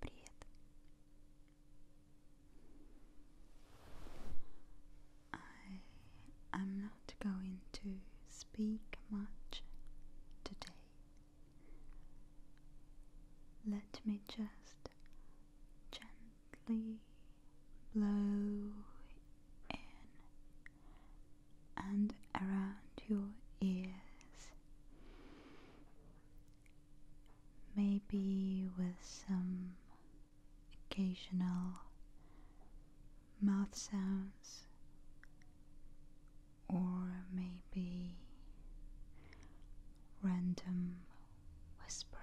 Привет. I am not going to speak much today. Let me just gently blow in and around your ears. Maybe with some occasional mouth sounds, or maybe random whispering.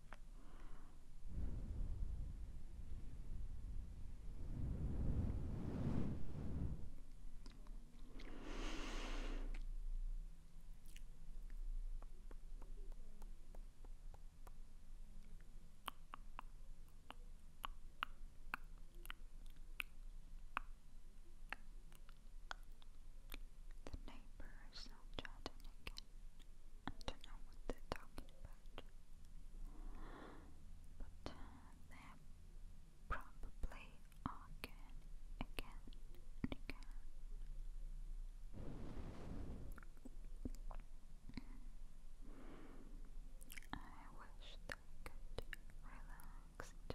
The neighbor is not judging again. I don't know what they're talking about, but uh, they're again, again, again. Mm. I wish that could relax too.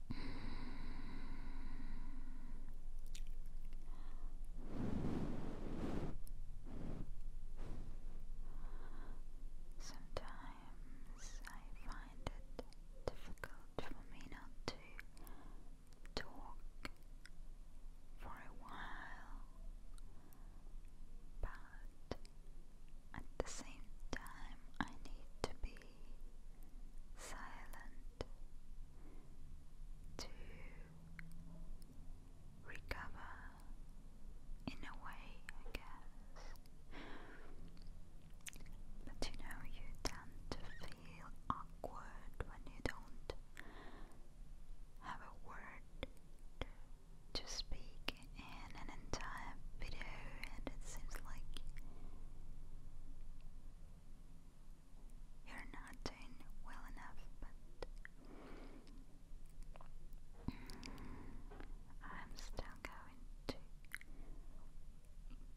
Sometimes I find it difficult for me not to talk for a while, but at the same time, I need to be silent to recover in a way, I guess. But you know, you tend to feel awkward when you don't have a word to, speak an entire video and it seems like you're not doing well enough, but I'm still going to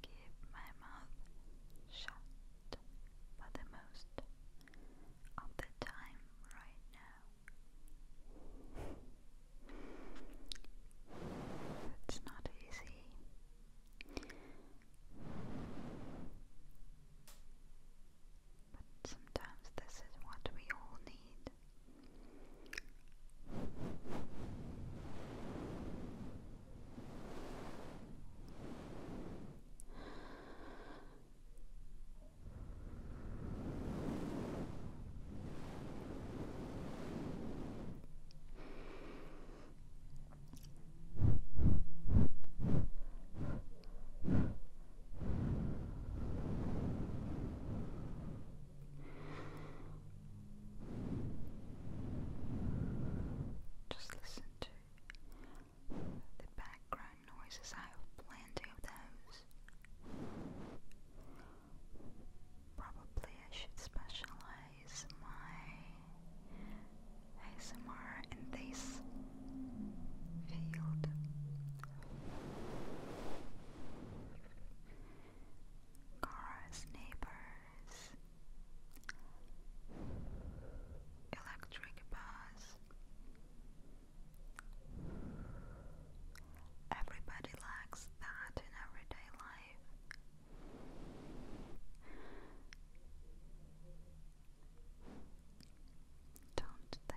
keep my mouth shut for the most of the time right now. It's not easy. But sometimes this is what we all need. Just listen to the background noises. I have plenty of those. Probably I should specialize my ASMR in this field. Cars, neighbors, electric bus. Everybody likes that in everyday life don't they?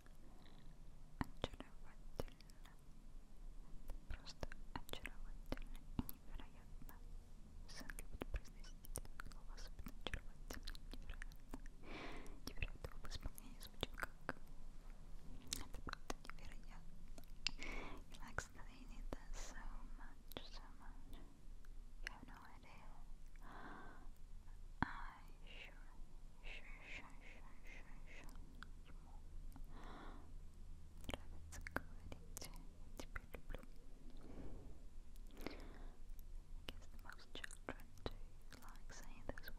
очаровательно. Это просто очаровательно и невероятно. Сын любит произносить это слово, особенно очаровательно и невероятно. Невероятно в исполнении звучит как... Это просто невероятно. He likes that he needs that so much, so much. You have no idea. I sure Нравится говорить, теперь люблю. I guess to their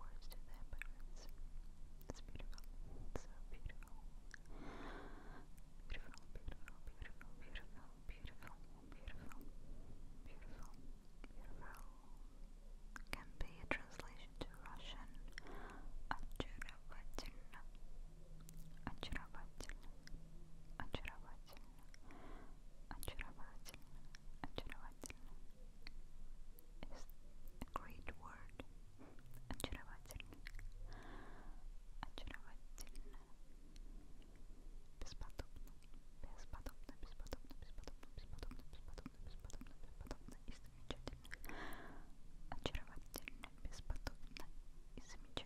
can be a translation to Russian очаровательно, очаровательно, очаровательно, очаровательно, очаровательно. It's a great word. Очаровательно, очаровательно, бесподобно, бесподобно, бесподобно, бесподобно, бесподобно, бесподобно, бесподобно, бесподобно. It's замечательно, очаровательно, бесподобно и замечательно.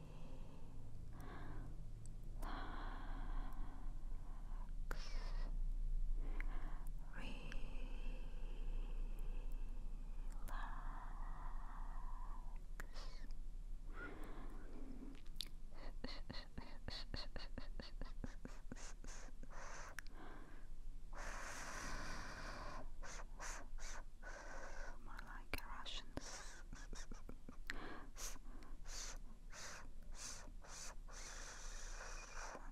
more like a Russian but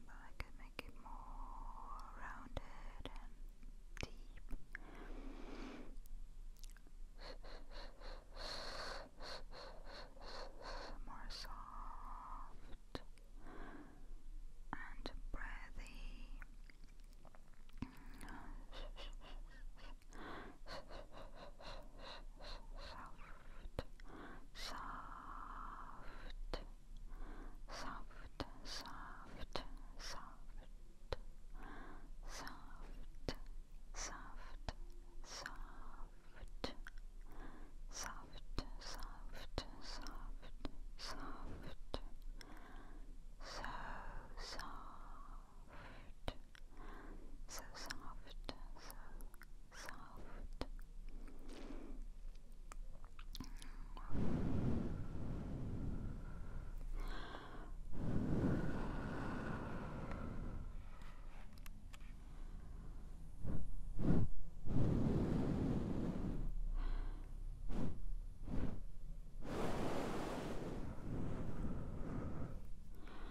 I could make it more rounded and deep. More soft and breathy soft, soft, soft, soft, soft, soft, soft, soft, soft, soft, soft, so soft so soft, so soft.